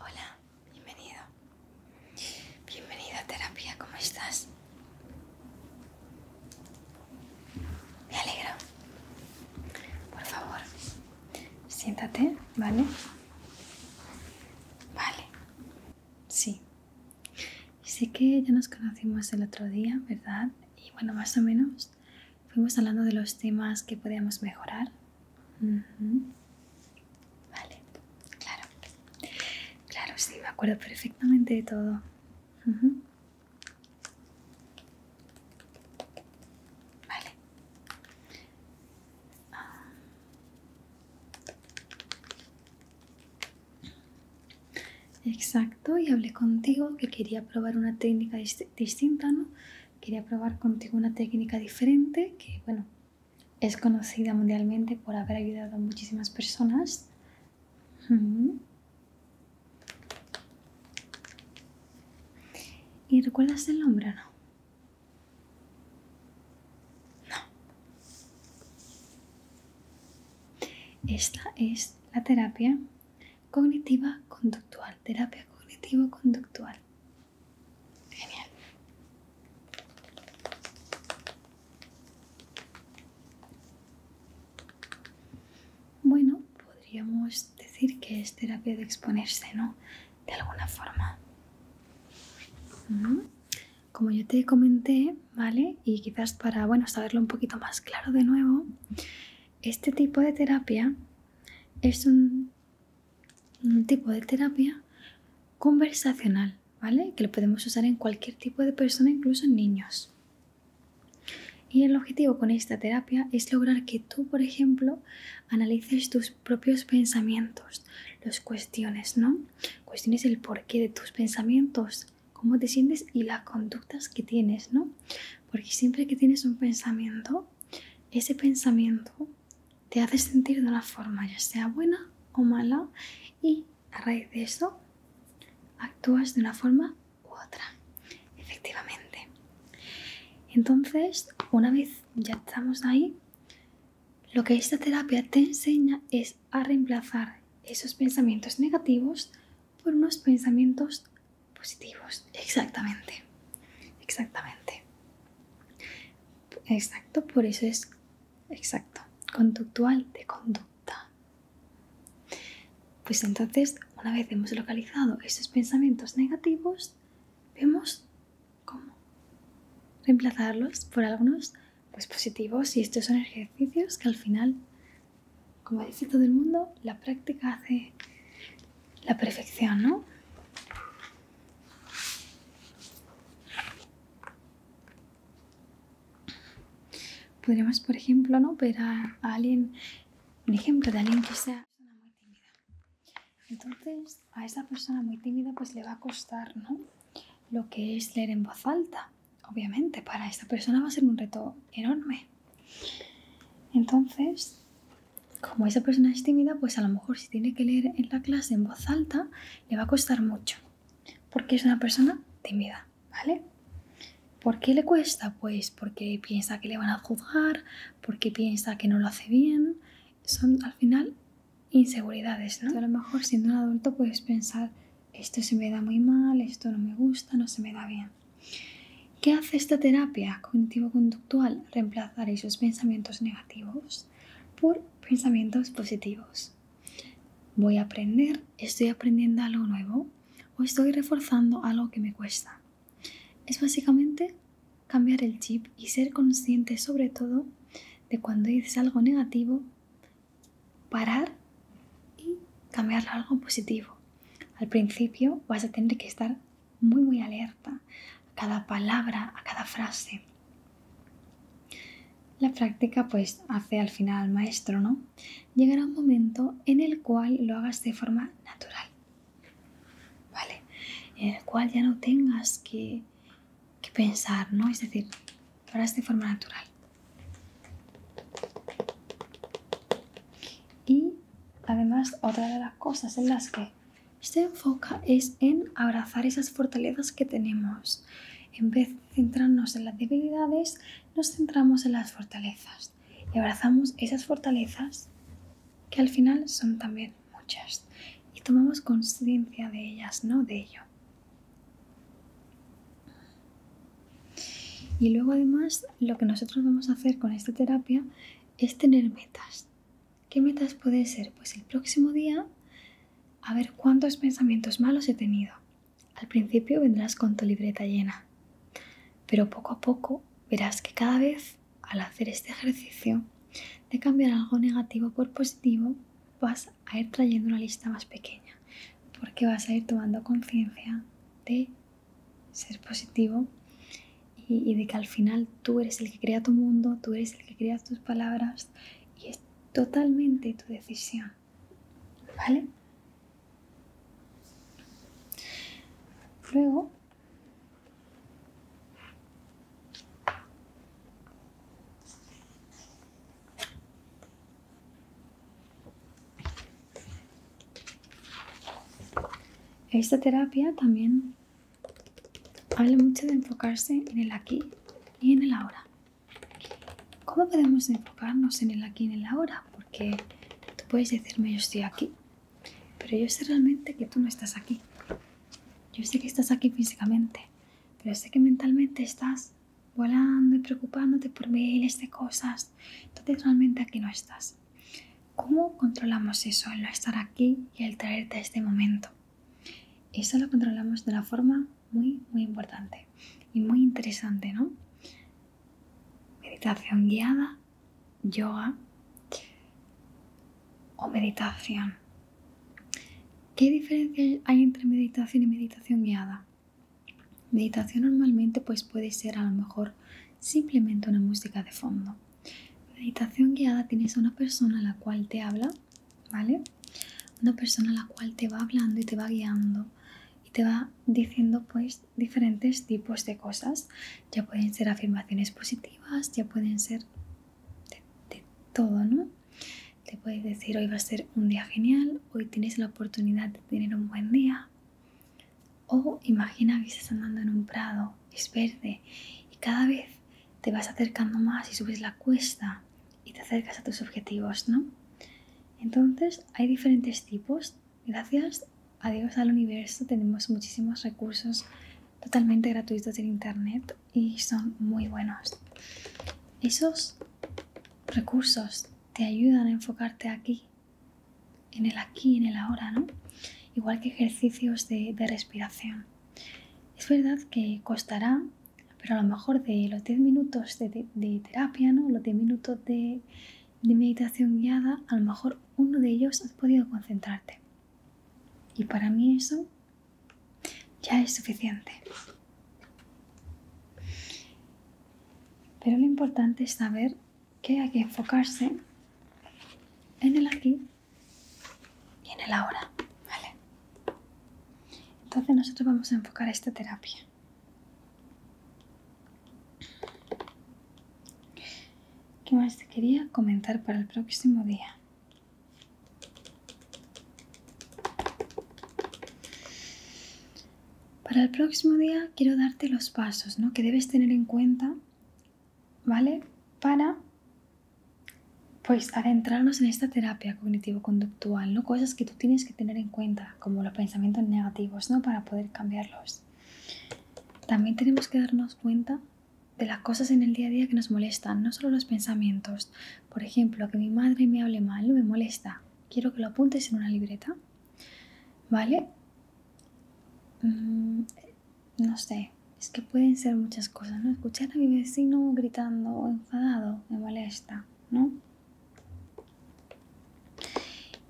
Hola, bienvenido. Bienvenido a terapia, ¿cómo estás? Me alegro. Por favor, siéntate, ¿vale? Vale. Sí, y sé que ya nos conocimos el otro día, ¿verdad? Y bueno, más o menos fuimos hablando de los temas que podíamos mejorar. Vale, claro. Claro, sí, me acuerdo perfectamente de todo. Vale. Ah. Exacto, y hablé contigo que quería probar una técnica distinta, ¿no? Quería probar contigo una técnica diferente que, bueno, es conocida mundialmente por haber ayudado a muchísimas personas. ¿Y recuerdas el nombre No. Esta es la terapia cognitiva conductual, terapia cognitivo conductual. Genial. Bueno, podríamos decir que es terapia de exponerse, ¿no? De alguna forma como yo te comenté, ¿vale? Y quizás para, bueno, saberlo un poquito más claro de nuevo, este tipo de terapia es un, tipo de terapia conversacional, ¿vale? Que lo podemos usar en cualquier tipo de persona, incluso en niños. Y el objetivo con esta terapia es lograr que tú, por ejemplo, analices tus propios pensamientos, los cuestiones, ¿no? Cuestiones el porqué de tus pensamientos, cómo te sientes y las conductas que tienes, ¿no? Porque siempre que tienes un pensamiento, ese pensamiento te hace sentir de una forma, ya sea buena o mala, y a raíz de eso actúas de una forma u otra, efectivamente. Entonces, una vez ya estamos ahí, lo que esta terapia te enseña es a reemplazar esos pensamientos negativos por unos pensamientos positivos. Exactamente. Exactamente. Exacto, por eso es exacto. Conductual de conducta. Pues entonces, una vez hemos localizado esos pensamientos negativos, vemos cómo reemplazarlos por algunos pues positivos y estos son ejercicios que al final, como dice todo el mundo, la práctica hace la perfección, ¿no? Podríamos, por ejemplo, ver a, alguien, un ejemplo de alguien que sea muy tímida. Entonces, a esa persona muy tímida pues le va a costar, ¿no? Lo que es leer en voz alta obviamente para esta persona va a ser un reto enorme. Entonces, como esa persona es tímida, pues a lo mejor si tiene que leer en la clase en voz alta, le va a costar mucho, porque es una persona tímida, ¿vale? ¿Por qué le cuesta? Pues porque piensa que le van a juzgar, porque piensa que no lo hace bien. Son al final inseguridades, ¿no? a lo mejor siendo un adulto puedes pensar, esto se me da muy mal, esto no me gusta, no se me da bien. ¿Qué hace esta terapia cognitivo-conductual? Reemplazar esos pensamientos negativos por pensamientos positivos. Voy a aprender, estoy aprendiendo algo nuevo o estoy reforzando algo que me cuesta. Es básicamente cambiar el chip y ser consciente sobre todo de cuando dices algo negativo parar y cambiarlo a algo positivo. Al principio vas a tener que estar muy muy alerta a cada palabra, a cada frase. La práctica pues hace al final maestro, ¿no? Llegará un momento en el cual lo hagas de forma natural, ¿vale? En el cual ya no tengas que que pensar, ¿no? Es decir, lo de forma natural. Y además otra de las cosas en las que se enfoca es en abrazar esas fortalezas que tenemos. En vez de centrarnos en las debilidades, nos centramos en las fortalezas y abrazamos esas fortalezas que al final son también muchas y tomamos conciencia de ellas, no de ello. Y luego además lo que nosotros vamos a hacer con esta terapia es tener metas. ¿Qué metas puede ser? Pues el próximo día a ver cuántos pensamientos malos he tenido. Al principio vendrás con tu libreta llena, pero poco a poco verás que cada vez al hacer este ejercicio de cambiar algo negativo por positivo, vas a ir trayendo una lista más pequeña porque vas a ir tomando conciencia de ser positivo y, de que al final tú eres el que crea tu mundo, tú eres el que crea tus palabras y es totalmente tu decisión. ¿Vale? Luego... Esta terapia también habla mucho de enfocarse en el aquí y en el ahora. ¿Cómo podemos enfocarnos en el aquí y en el ahora? Porque tú puedes decirme yo estoy aquí, pero yo sé realmente que tú no estás aquí. Yo sé que estás aquí físicamente, pero sé que mentalmente estás volando y preocupándote por miles de cosas. Entonces realmente aquí no estás. ¿Cómo controlamos eso, el no estar aquí y el traerte a este momento? Eso lo controlamos de una forma muy, muy importante y muy interesante, ¿no? Meditación guiada, yoga o meditación ¿Qué diferencia hay entre meditación y meditación guiada? Meditación normalmente pues puede ser a lo mejor simplemente una música de fondo. Meditación guiada tienes a una persona a la cual te habla, ¿vale? Una persona a la cual te va hablando y te va guiando y te va diciendo pues diferentes tipos de cosas. Ya pueden ser afirmaciones positivas, ya pueden ser de, de todo, ¿no? Te puedes decir hoy va a ser un día genial, hoy tienes la oportunidad de tener un buen día. O imagina que estás andando en un prado, es verde, y cada vez te vas acercando más y subes la cuesta y te acercas a tus objetivos, ¿no? Entonces hay diferentes tipos. Gracias a Dios al universo tenemos muchísimos recursos totalmente gratuitos en Internet y son muy buenos. Esos recursos te ayudan a enfocarte aquí, en el aquí, en el ahora, ¿no? Igual que ejercicios de, respiración. Es verdad que costará, pero a lo mejor de los 10 minutos de, terapia, ¿no? Los 10 minutos de, meditación guiada, a lo mejor uno de ellos has podido concentrarte. Y para mí eso ya es suficiente. Pero lo importante es saber que hay que enfocarse en el aquí y en el ahora, ¿vale? Entonces nosotros vamos a enfocar esta terapia. ¿Qué más te quería comentar para el próximo día? Para el próximo día quiero darte los pasos ¿no? que debes tener en cuenta, ¿vale? Para pues adentrarnos en esta terapia cognitivo-conductual, ¿no? Cosas que tú tienes que tener en cuenta, como los pensamientos negativos, ¿no? Para poder cambiarlos. También tenemos que darnos cuenta de las cosas en el día a día que nos molestan, no solo los pensamientos, por ejemplo, que mi madre me hable mal me molesta. Quiero que lo apuntes en una libreta. ¿Vale? Mm, no sé, es que pueden ser muchas cosas, ¿no? Escuchar a mi vecino gritando o enfadado me molesta, ¿no?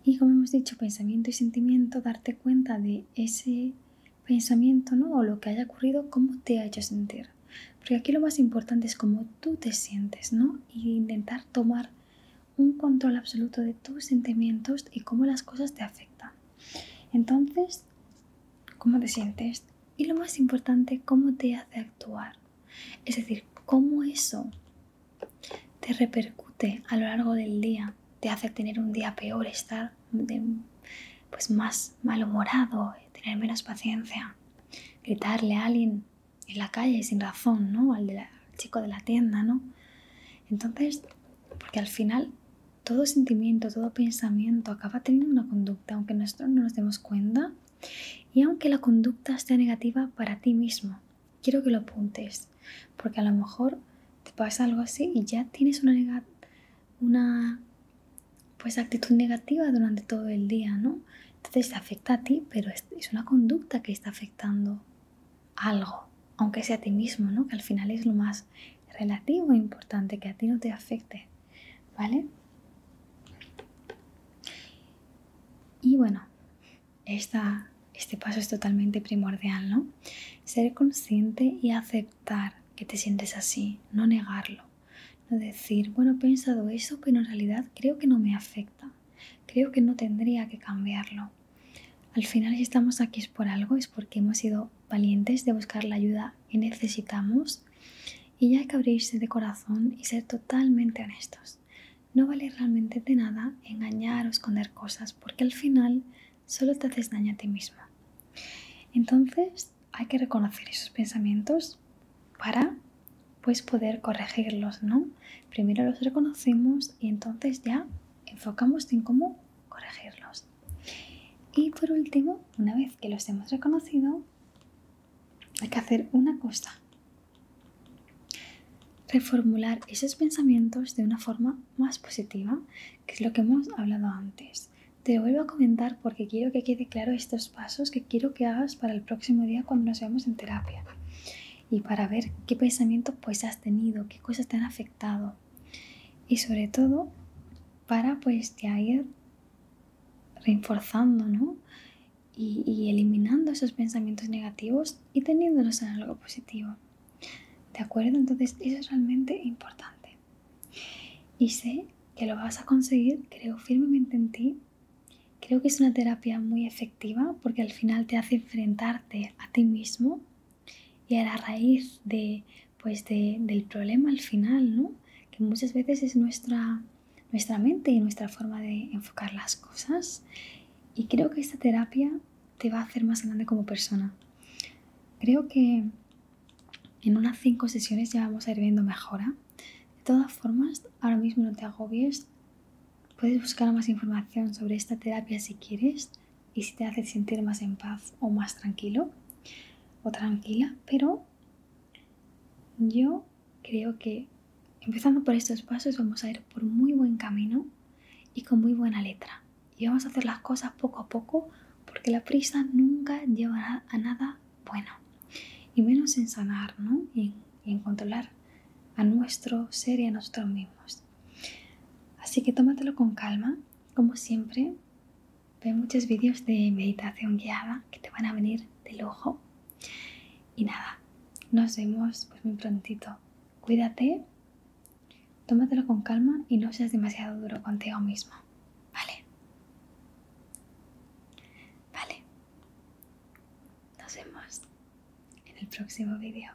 Y como hemos dicho, pensamiento y sentimiento, darte cuenta de ese pensamiento, ¿no? O lo que haya ocurrido, cómo te ha hecho sentir. Porque aquí lo más importante es cómo tú te sientes, ¿no? Y intentar tomar un control absoluto de tus sentimientos y cómo las cosas te afectan. Entonces, cómo te sientes y lo más importante, cómo te hace actuar. Es decir, cómo eso te repercute a lo largo del día, te hace tener un día peor, estar pues más malhumorado, tener menos paciencia gritarle a alguien en la calle sin razón, ¿no? Al, chico de la tienda, ¿no? Entonces, porque al final todo sentimiento, todo pensamiento acaba teniendo una conducta, aunque nosotros no nos demos cuenta y aunque la conducta sea negativa para ti mismo. Quiero que lo apuntes, porque a lo mejor te pasa algo así y ya tienes una, una pues actitud negativa durante todo el día, ¿no? Entonces te afecta a ti, pero es, una conducta que está afectando algo, aunque sea a ti mismo, ¿no? Que al final es lo más relativo e importante, que a ti no te afecte, ¿vale? Y bueno, este paso es totalmente primordial, ¿no? Ser consciente y aceptar que te sientes así, no negarlo. No decir, bueno, he pensado eso, pero en realidad creo que no me afecta. Creo que no tendría que cambiarlo. Al final, si estamos aquí es por algo, es porque hemos sido valientes de buscar la ayuda que necesitamos. Y ya hay que abrirse de corazón y ser totalmente honestos. No vale realmente de nada engañar o esconder cosas, porque al final solo te haces daño a ti mismo. Entonces, hay que reconocer esos pensamientos para pues, poder corregirlos, ¿no? Primero los reconocimos y entonces ya enfocamos en cómo corregirlos. Y por último, una vez que los hemos reconocido, hay que hacer una cosa. Reformular esos pensamientos de una forma más positiva, que es lo que hemos hablado antes. Te vuelvo a comentar porque quiero que quede claro estos pasos que quiero que hagas para el próximo día cuando nos veamos en terapia y para ver qué pensamiento pues has tenido, qué cosas te han afectado y sobre todo para pues ya ir reforzando ¿no? y, y eliminando esos pensamientos negativos y teniéndolos en algo positivo. ¿De acuerdo? Entonces eso es realmente importante. Y sé que lo vas a conseguir, creo firmemente en ti. Creo que es una terapia muy efectiva porque al final te hace enfrentarte a ti mismo y a la raíz de, pues del problema al final, ¿no? que muchas veces es nuestra, nuestra mente y nuestra forma de enfocar las cosas. Y creo que esta terapia te va a hacer más grande como persona. Creo que en unas 5 sesiones ya vamos a ir viendo mejora. De todas formas, ahora mismo no te agobies. Puedes buscar más información sobre esta terapia si quieres y si te hace sentir más en paz o más tranquilo o tranquila, pero yo creo que empezando por estos pasos vamos a ir por muy buen camino y con muy buena letra. Y vamos a hacer las cosas poco a poco porque la prisa nunca llevará a nada bueno y menos en sanar ¿no? y, en controlar a nuestro ser y a nosotros mismos. Así que tómatelo con calma, como siempre, ve muchos vídeos de meditación guiada que te van a venir de lujo. Y nada, nos vemos pues muy prontito. Cuídate, tómatelo con calma y no seas demasiado duro contigo mismo ¿vale? Vale. Nos vemos en el próximo vídeo.